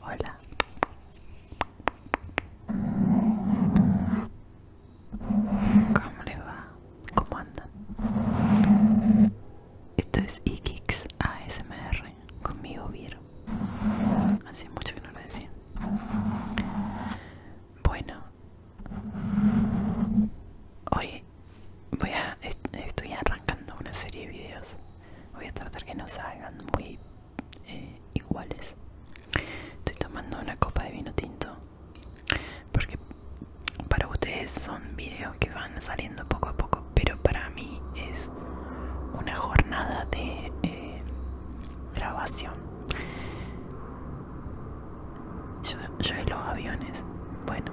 Hola. ¿Cómo le va? ¿Cómo andan? Esto es Ikix ASMR conmigo Vir. Hace mucho que no lo decía. Bueno, hoy voy a estoy arrancando una serie de videos. Voy a tratar que no salgan muy eh, iguales. Estoy tomando una copa de vino tinto porque para ustedes son videos que van saliendo poco a poco pero para mí es una jornada de eh, grabación yo, y los aviones bueno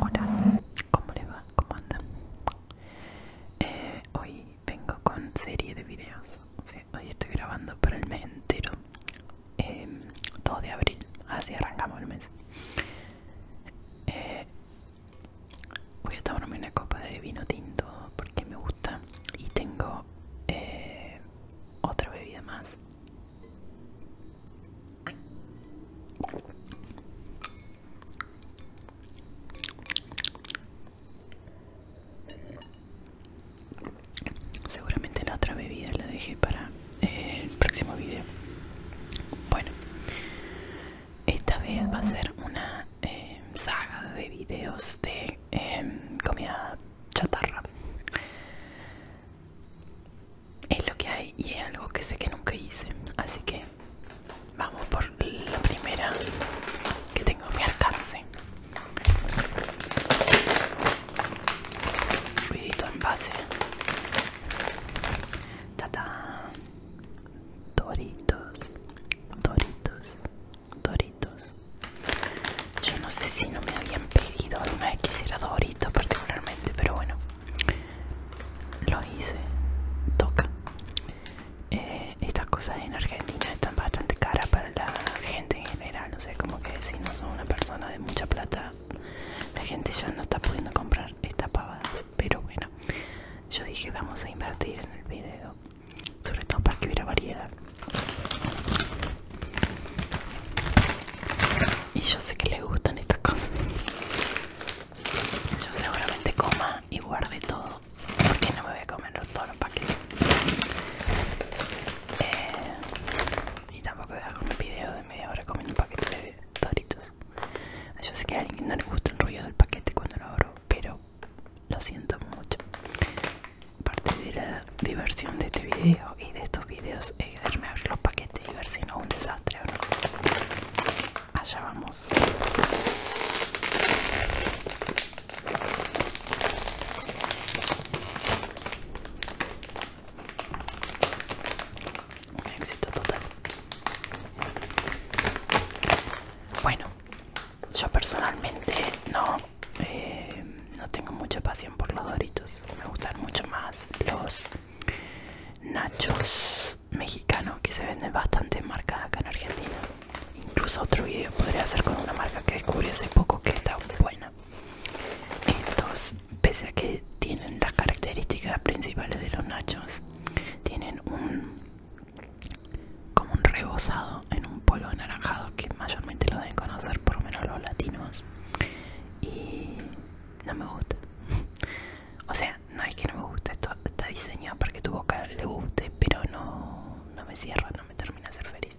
Hola, ¿cómo le va? ¿Cómo anda? Eh, hoy vengo con serie de videos. hoy estoy grabando para el mes entero. Todo em, de abril, así arrancamos el mes. Eh, voy a tomarme una copa de vino tinto porque me gusta y tengo eh, otra bebida más Seguramente la otra bebida la dejé para eh, el próximo video. Bueno, esta vez va a ser una eh, saga de videos de em, comida chatarra es lo que hay y es algo que sé que nunca hice así que vamos por la primera que tengo a mi alcance ruidito en base ta doritos doritos doritos yo no sé si no me habían pedido alguna vez quisiera doritos particularmente pero bueno, lo hice, toca. Eh, estas cosas en Argentina están bastante caras para la gente en general, no sé como que si no son una persona de mucha plata, la gente ya no está pudiendo comprar estas pavadas, pero bueno, yo dije vamos a invertir en el video, sobre todo para que hubiera variedad. Y yo sé que le gustan estas cosas. Yo seguramente coma y guarde todo. Porque no me voy a comer todo los paquetes. Eh, y tampoco voy a hacer un video de media hora comiendo un paquete de doritos. Yo sé que a alguien no le gusta el ruido del paquete cuando lo abro, pero lo siento mucho. Parte de la diversión de este video y de estos videos abrir los paquetes y ver si no es un desastre o no. Allá vamos. Un éxito total. Bueno, yo personalmente no eh, no tengo mucha pasión por los doritos. Me gustan mucho más los nachos mexicanos que se venden bastante en acá en Argentina. Incluso otro video podría hacer con una marca que descubrí hace poco que está buena. Estos, pese a que tienen las características principales de los nachos, tienen un como un rebozado en un polvo anaranjado que mayormente lo deben conocer por lo menos los latinos y no me gusta. o sea, no es que no me guste esto está diseñado para que tu boca le guste, pero no, me cierra, no me termina de ser feliz.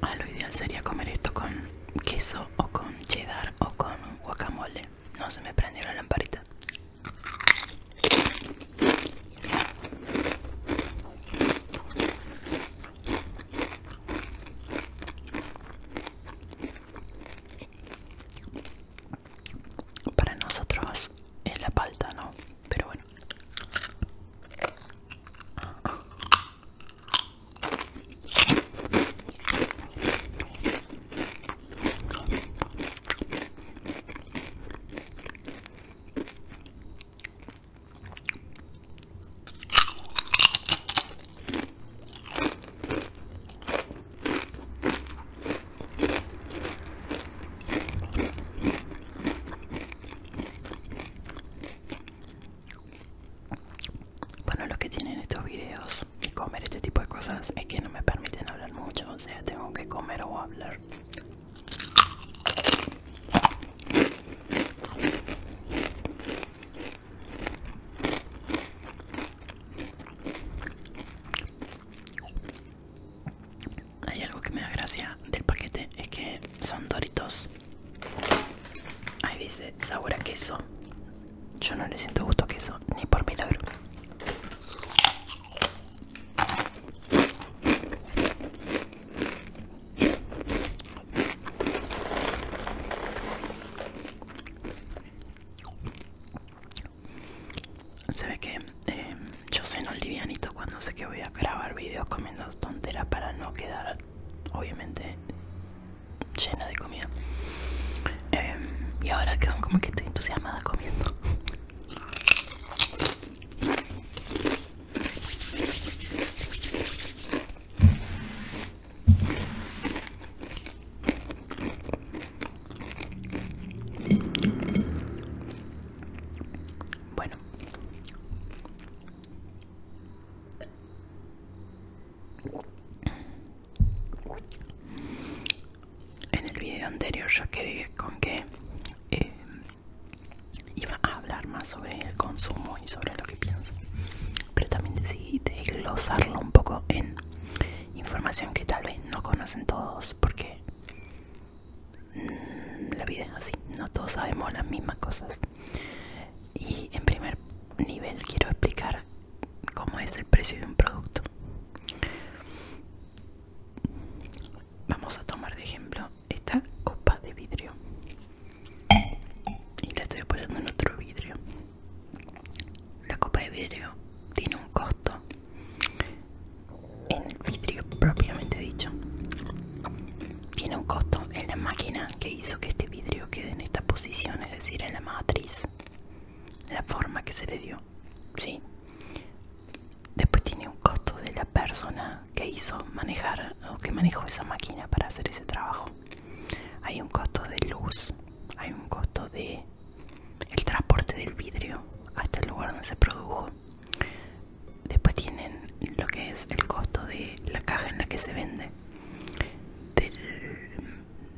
a ah, lo ideal sería comer esto con queso o con cheddar o con guacamole. No se me prendió la lamparita. Para nosotros es la palta, ¿no? Pero bueno. Bueno, lo que tienen estos videos y comer este tipo de cosas es que no me permiten hablar mucho, o sea, tengo que comer o hablar. Hay algo que me da gracia del paquete, es que son doritos. Ahí dice sabor a queso. Yo no le siento gusto a queso, ni por milagro. Se ve que eh, yo soy no livianito cuando sé que voy a grabar videos comiendo tonteras para no quedar, obviamente, llena de comida. Em, y ahora quedo como que estoy entusiasmada comiendo. Bueno. En el video anterior ya quedé con que eh, iba a hablar más sobre el consumo y sobre lo pienso pero también decidí desglosarlo un poco en información que tal vez no conocen todos porque mm, la vida es así no todos sabemos las mismas cosas y en primer nivel quiero explicar cómo es el precio de un producto vamos a tomar de ejemplo esta copa de vidrio y la estoy apoyando en otro vidrio la copa de vidrio tiene un costo en el vidrio propiamente dicho. Tiene un costo en la máquina que hizo que este vidrio quede en esta posición, es decir, en la matriz, la forma que se le dio. ¿sí? Después tiene un costo de la persona que hizo manejar o que manejó esa máquina para hacer ese trabajo. Hay un costo de luz, hay un costo de el transporte del vidrio hasta el lugar donde se produjo después tienen lo que es el costo de la caja en la que se vende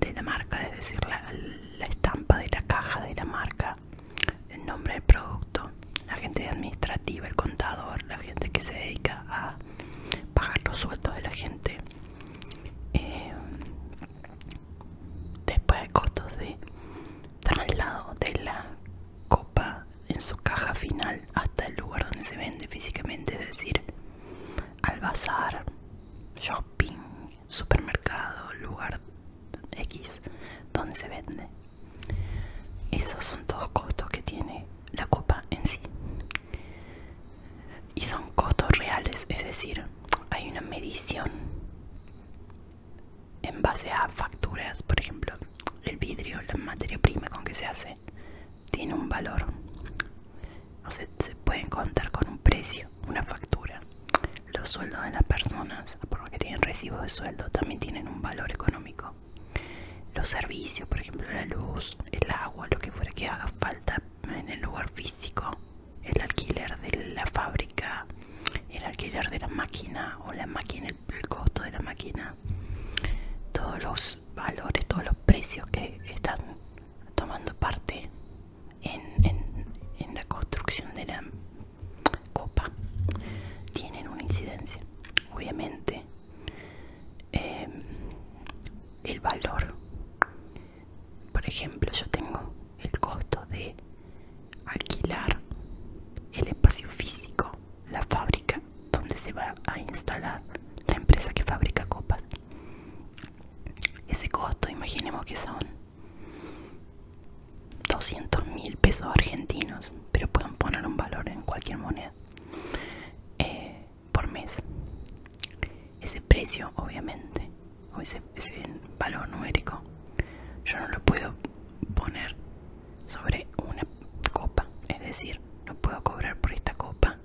de la marca es decir la, estampa de la caja de la marca el nombre del producto la gente administrativa el contador la gente que se dedica a pagar los sueldos de la gente eh, después de costos de traslado de la copa en su caja final hasta el lugar donde se vende físicamente, es decir, al bazar, shopping, supermercado, lugar X donde se vende. Esos son todos costos que tiene la copa en sí y son costos reales es decir hay una medición en base a facturas por ejemplo el vidrio la materia prima con que se hace tiene un valor se pueden contar con un precio una factura los sueldos de las personas por lo que tienen recibos de sueldo también tienen un valor económico los servicios por ejemplo la luz el agua lo que fuera que haga falta en el lugar físico, el alquiler de la fábrica, el alquiler de la máquina o la máquina, el costo de la máquina, todos los valores, todos los precios que están tomando parte en, la construcción de la copa tienen una incidencia. Obviamente eh, el valor. Por ejemplo, yo tengo el costo de alquilar el espacio físico, la fábrica donde se va a instalar la empresa que fabrica copas. Ese costo, imaginemos que son 200 mil pesos argentinos, pero pueden poner un valor en cualquier moneda. Eh, por mes. Ese precio, obviamente, o ese, ese valor numérico, yo no lo puedo poner sobre una copa. Es decir, no puedo cobrar por esta copa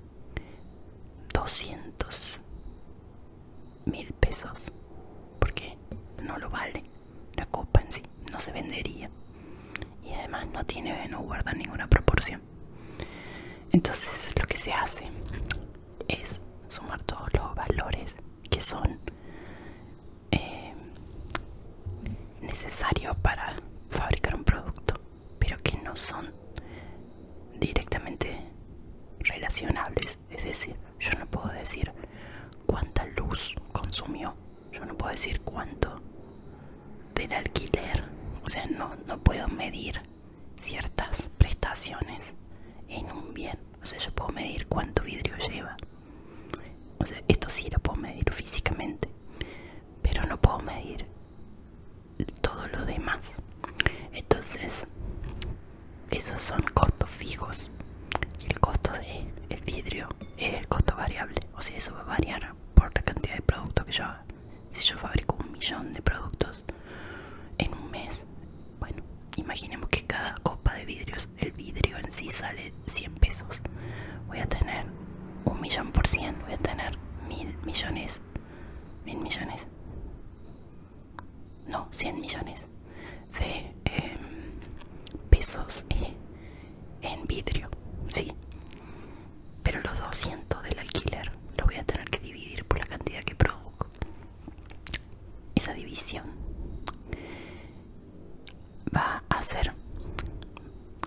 200 mil pesos porque no lo vale la copa en sí no se vendería y además no tiene no guarda ninguna proporción entonces lo que se hace es sumar todos los valores que son eh, necesarios para fabricar un producto, pero que no son directamente relacionables. Es decir, yo no puedo decir cuánta luz consumió, yo no puedo decir cuánto del alquiler, o sea, no, no puedo medir ciertas prestaciones en un bien. O sea, yo puedo medir cuánto vidrio lleva. esto sí lo puedo medir físicamente, pero no puedo medir todo lo demás. Entonces, esos son costos fijos. El costo del el vidrio es el costo variable. O sea, eso va a variar por la cantidad de producto que yo si yo fabrico un millón de productos en un mes, bueno, imaginemos que cada copa de vidrios, el vidrio en sí sale 100 pesos, voy a tener un millón por cien, voy a tener mil millones, mil millones, no, 100 millones de em, pesos eh, en vidrio, sí pero los 200 del alquiler lo voy a tener que dividir por la cantidad que produzco. Esa división va a ser,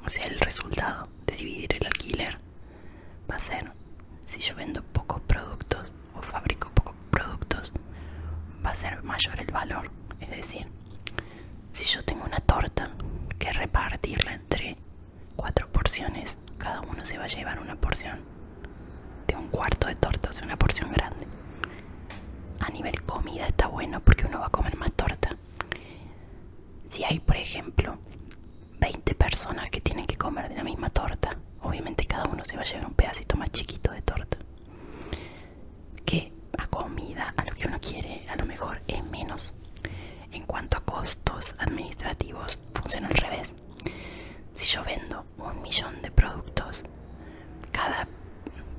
o sea, el resultado de dividir el alquiler va a ser, si yo vendo pocos productos o fabrico pocos productos, va a ser mayor el valor. Es decir, si yo tengo una torta que repartirla entre cuatro porciones, cada uno se va a llevar una porción de un cuarto de torta, o una porción grande. A nivel comida está bueno porque uno va a comer más torta. Si hay, por ejemplo, 20 personas que tienen que comer de la misma torta, obviamente cada uno se va a llevar un pedacito más chiquito de torta. Que a comida, a lo que uno quiere, a lo mejor es menos. En cuanto a costos administrativos, funciona al revés. Si yo vendo un millón de productos, cada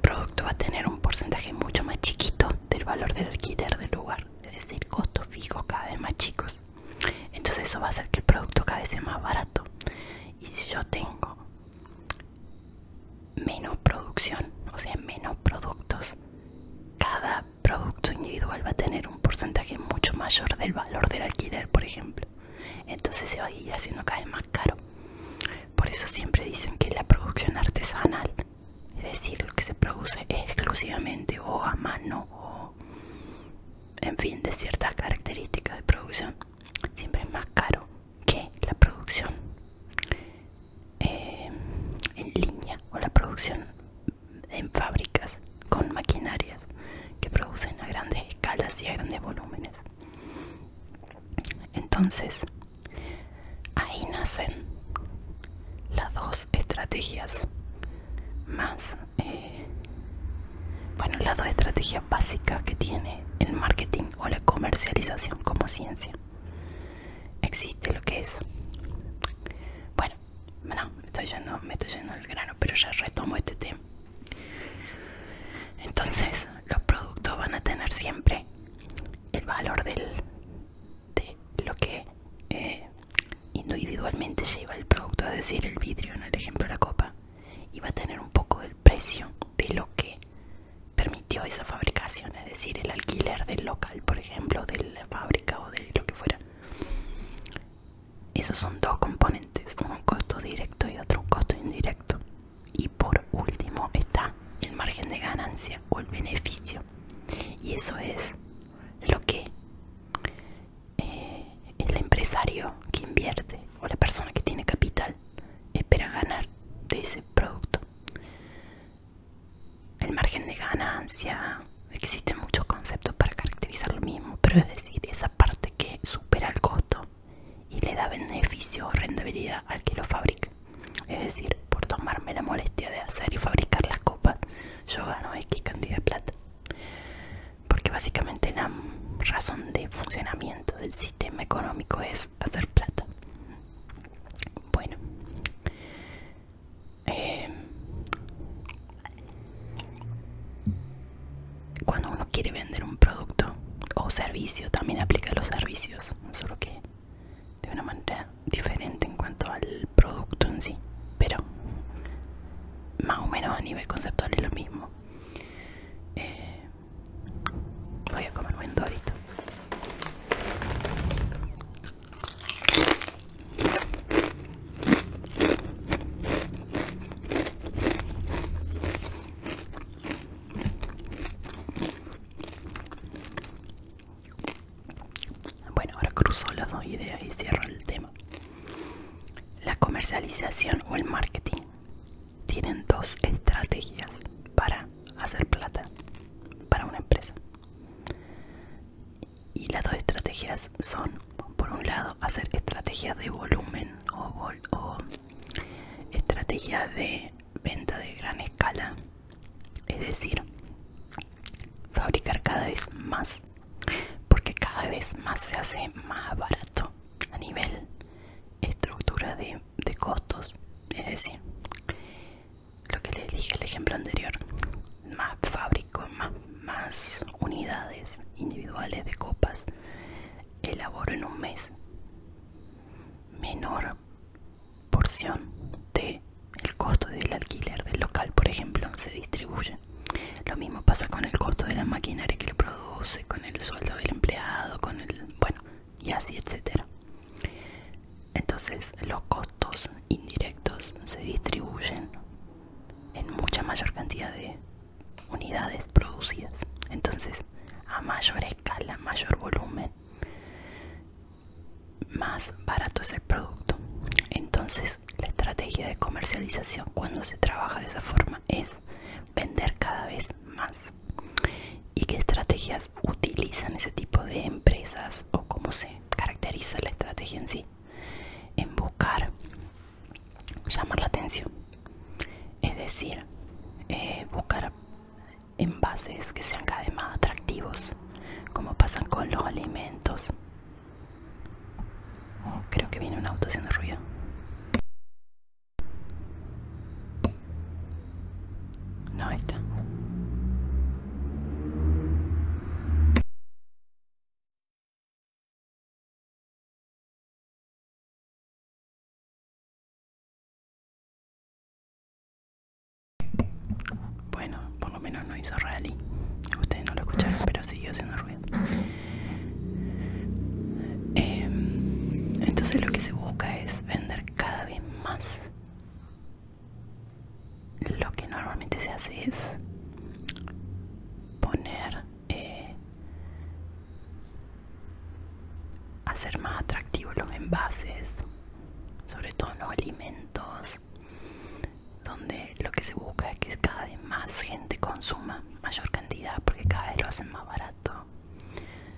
producto va a tener un porcentaje mucho más chiquito del valor del alquiler del lugar, es decir, costos fijos cada vez más chicos. Entonces eso va a hacer que el producto cada vez sea más barato. Y si yo tengo menos producción, o sea, menos productos, cada producto individual va a tener un porcentaje mucho mayor del valor del alquiler, por ejemplo. Entonces se va a ir haciendo cada vez más caro. Por eso siempre dicen que la producción artesanal, es decir, lo que se produce exclusivamente o a mano o, en fin, de ciertas características de producción, siempre es más caro que la producción eh, en línea o la producción en fábricas con maquinarias que producen a grandes escalas y a grandes volúmenes. Entonces, ahí nacen las dos estrategias más, eh, bueno, las dos estrategias básicas que tiene el marketing o la comercialización como ciencia. Existe lo que es, bueno, bueno, estoy yendo, me estoy yendo al grano, pero ya retomo este tema. Entonces, los productos van a tener siempre el valor del, de lo que eh, individualmente lleva el producto, es decir, el vidrio, en el ejemplo la copa, y va a tener un poco del precio de lo que permitió esa fabricación, es decir, el alquiler del local, por ejemplo, de la fábrica o de lo que fuera. Esos son dos componentes, un costo directo y otro un costo indirecto. Y por último está el margen de ganancia o el beneficio. Y eso es lo que eh, el empresario que invierte o la persona que tiene capital espera ganar de ese producto el margen de ganancia. Existen muchos conceptos para caracterizar lo mismo, pero es decir, esa parte que supera el costo y le da beneficio o rentabilidad al que lo fabrica. Es decir, por tomarme la molestia de hacer y fabricar las copas, yo gano X cantidad de plata. Porque básicamente la razón de funcionamiento del sistema económico es hacer plata. Bueno, eh, cuando uno quiere vender un producto o servicio, también aplica los servicios, solo que de una manera diferente en cuanto al producto en sí, pero más o menos a nivel conceptual es lo mismo. Eh, voy a comer un dorito. Bueno, ahora cruzo las dos ideas y cierro el tema. La comercialización o el marketing tienen dos estrategias para hacer plata para una empresa. Y las dos estrategias son, por un lado, hacer estrategias de volumen o, estrategias de venta de gran escala, es decir, fabricar cada vez más, porque cada vez más se hace más barato a nivel estructura de, de costos, es decir, lo que les dije el ejemplo anterior más fábricos más, más unidades individuales de copas elaboro en un mes menor porción de el costo del alquiler del local por ejemplo se distribuye lo mismo pasa con el costo de la maquinaria que lo produce con el sueldo del empleado con el bueno y así etcétera entonces los costos indirectos se distribuyen en mucha mayor cantidad de unidades producidas. Entonces, a mayor escala, mayor volumen, más barato es el producto. Entonces, la estrategia de comercialización cuando se trabaja de esa forma es vender cada vez más. ¿Y qué estrategias utilizan ese tipo de empresas o cómo se caracteriza la estrategia en sí? en buscar llamar la atención es decir eh, buscar envases que sean cada vez más atractivos como pasan con los alimentos creo que viene un auto haciendo ruido no está bueno, por lo menos no hizo rally. Ustedes no lo escucharon, pero siguió haciendo ruido. Em, entonces lo que se busca es vender cada vez más lo que normalmente se hace es poner eh, hacer más atractivos los envases sobre todo en los alimentos donde lo que se busca es que cada vez más gente consuma mayor cantidad porque cada vez lo hacen más barato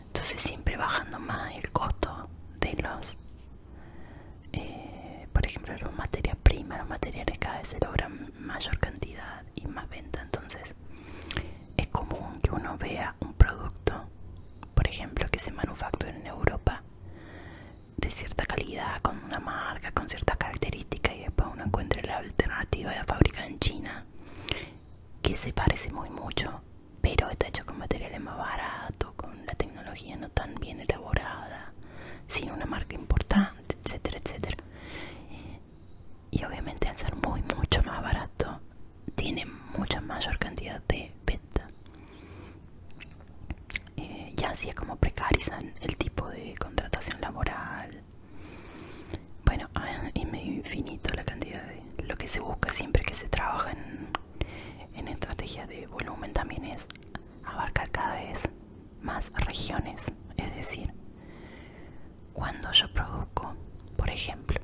entonces siempre bajando más el costo de los eh, por ejemplo los materias primas los materiales cada vez se logran mayor cantidad y más venta entonces es común que uno vea un producto por ejemplo que se manufactura en Europa de cierta calidad con una marca con ciertas características y después uno encuentra la alternativa de la fábrica en China que se parece muy mucho pero está hecho con materiales más baratos con la tecnología no tan bien elaborada, sin una marca importante, etcétera, etcétera. Y obviamente al ser muy, mucho más barato, tiene mucha mayor cantidad de venta. Eh, ya y así es como precarizan el tipo de contratación laboral. Bueno, ah, es medio infinito la cantidad de... Lo que se busca siempre que se trabaja en, en de volumen también es abarcar cada vez más regiones. Es decir, cuando yo produzco, por ejemplo,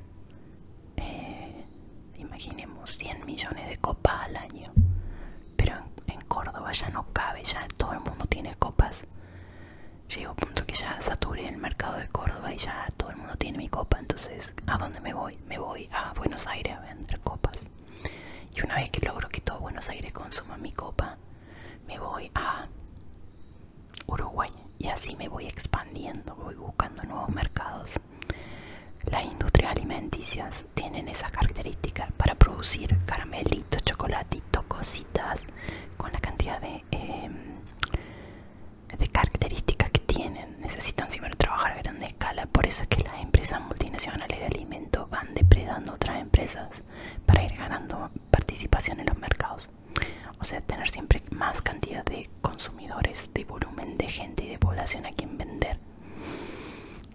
eh, imaginemos 100 millones de copas al año, pero en, Córdoba ya no cabe, ya todo el mundo tiene copas. Llego a punto que ya saturé el mercado de Córdoba y ya todo el mundo tiene mi copa. Entonces, ¿a dónde me voy? Me voy a Buenos Aires a vender copas. Y una vez que logro que todo Buenos Aires consuma mi copa, me voy a Uruguay y así me voy expandiendo, voy buscando nuevos mercados. Las industrias alimenticias tienen esa característica para producir caramelitos, chocolatitos, cositas con la cantidad de, eh, de características que tienen. Necesitan siempre trabajar grandes por eso es que las empresas multinacionales de alimentos van depredando otras empresas para ir ganando participación en los mercados. O sea, tener siempre más cantidad de consumidores, de volumen de gente y de población a quien vender.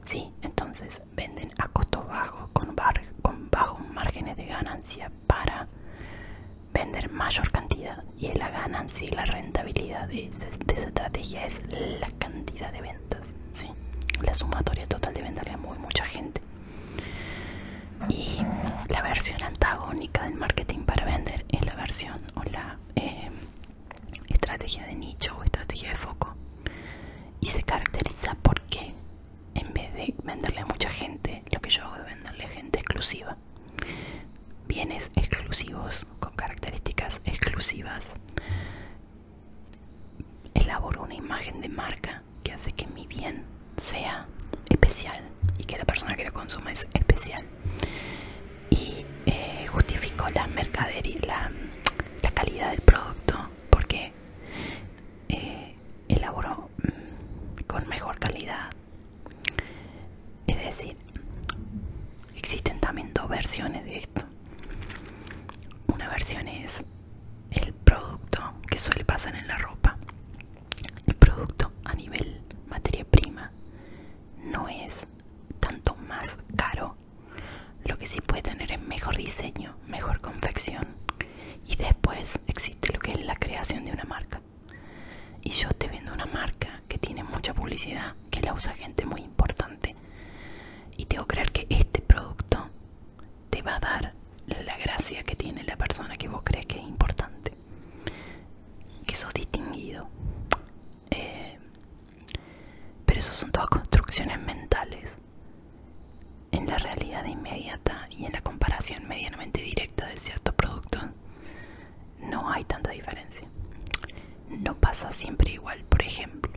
Sí, entonces venden a costo bajo, con, con bajos márgenes de ganancia para vender mayor cantidad. Y la ganancia y la rentabilidad de, esa estrategia es la cantidad de venta. ¿sí? La sumatoria total de venderle a muy mucha gente. Y la versión antagónica del marketing para vender es la versión o la eh, estrategia de nicho o estrategia de foco. Y se caracteriza porque en vez de venderle a mucha gente, lo que yo hago es venderle gente exclusiva. Bienes exclusivos, con características exclusivas, elaboro una imagen de marca que hace que mi bien sea especial y que la persona que lo consuma es especial y eh, justificó la mercadería la, la calidad del producto porque elaboró eh, elaboro mm, con mejor calidad es decir existen también dos versiones de esto una versión es el producto que suele pasar en la ropa. El producto a nivel materia prima no es tanto más caro. Lo que sí puede tener es mejor diseño, mejor confección. Y después existe lo que es la creación de una marca. Y yo te vendo una marca que tiene mucha publicidad, que la usa gente muy importante. Y tengo que creer que este producto te va a dar la gracia que tiene la persona que vos crees que es importante. Que sos distinguido. Eh, pero eso son todas construcciones mentales. En la realidad inmediata y en la comparación medianamente directa de ciertos productos, no hay tanta diferencia. No pasa siempre igual, por ejemplo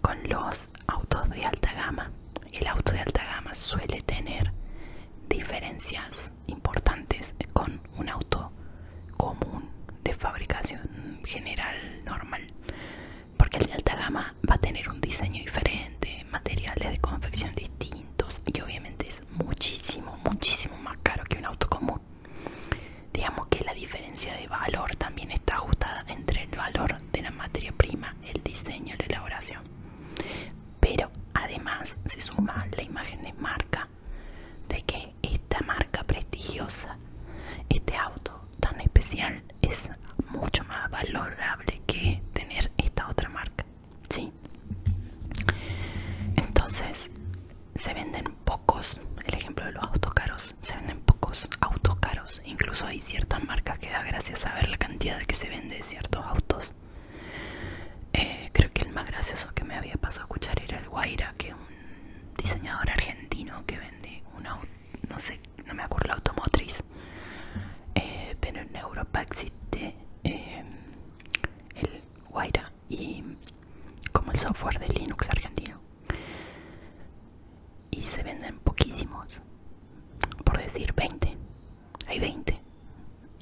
con los autos de alta gama. El auto de alta gama suele tener diferencias importantes con un auto común de fabricación general normal, porque el de alta gama va a tener un diseño diferente, materiales de confección distintos y obviamente es muchísimo, muchísimo más caro que un auto común. Digamos que la diferencia de valor también está ajustada entre el valor de la materia prima, el diseño, la elaboración. Pero además se suma la imagen de marca, de que esta marca prestigiosa, este auto tan especial, es mucho más valorable que tener esta otra marca. ¿sí? Entonces se venden pocos, el ejemplo de los autos caros se venden pocos autos caros. Incluso hay ciertas marcas que da gracias a ver la cantidad de que se vende de ciertos autos. Eh, creo que el más gracioso que me había pasado a escuchar era el Guaira, que es un diseñador argentino que vende una no sé, no me acuerdo la automotriz. Eh, pero en Europa existe eh, el Guaira y como el software de Linux argentino y se venden poquísimos por decir 20 hay 20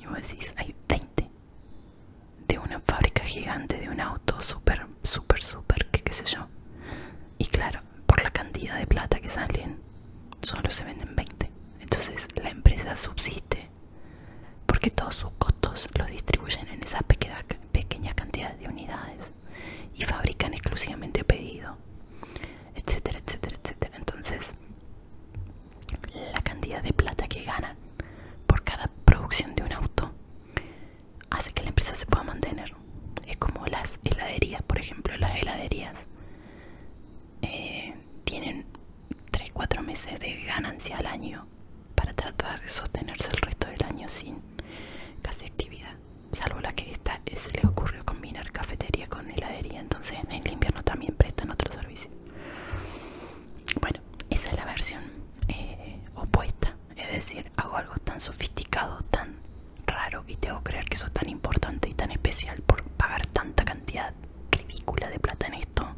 y vos decís hay 20 de una fábrica gigante de un auto super super super que qué sé yo y claro por la cantidad de plata que salen solo se venden 20 entonces la empresa subsiste porque todos sus costos los distribuyen en esas pequeñas pequeñas cantidades de unidades y fabrican exclusivamente pedido, etcétera, etcétera, etcétera. Entonces, la cantidad de plata que ganan por cada producción de un auto hace que la empresa se pueda mantener. Es como las heladerías, por ejemplo, las heladerías eh, tienen 3-4 meses de ganancia al año para tratar de sostenerse el resto del año sin casi actividad, salvo la que esta se le ocurrió combinar cafetería con heladería, entonces en el invierno también prestan otro servicio. Bueno, esa es la versión eh, opuesta, es decir, hago algo tan sofisticado, tan raro y te hago creer que eso es tan importante y tan especial por pagar tanta cantidad ridícula de plata en esto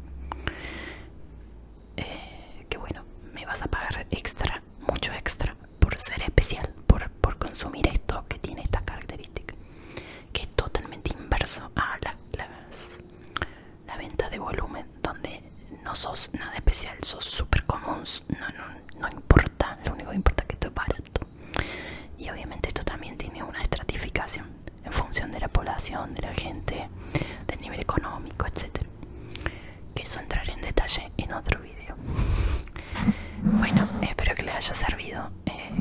eh, que bueno, me vas a pagar extra, mucho extra, por ser especial, por, por consumir esto que tiene esta característica que es totalmente inverso a la, la venta de volumen, donde no sos nada especial, sos súper común, no, no, importa, lo único que importa es que esto es barato. Y obviamente esto también tiene una estratificación en función de la población, de la gente, del nivel económico, etc que eso entraré en detalle en otro video bueno espero que les haya servido eh,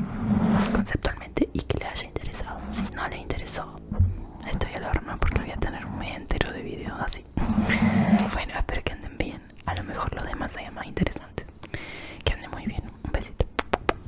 conceptualmente y que les haya interesado si no les interesó estoy al horno porque voy a tener un mes entero de videos así bueno espero que anden bien a lo mejor los demás sean más interesantes que anden muy bien un besito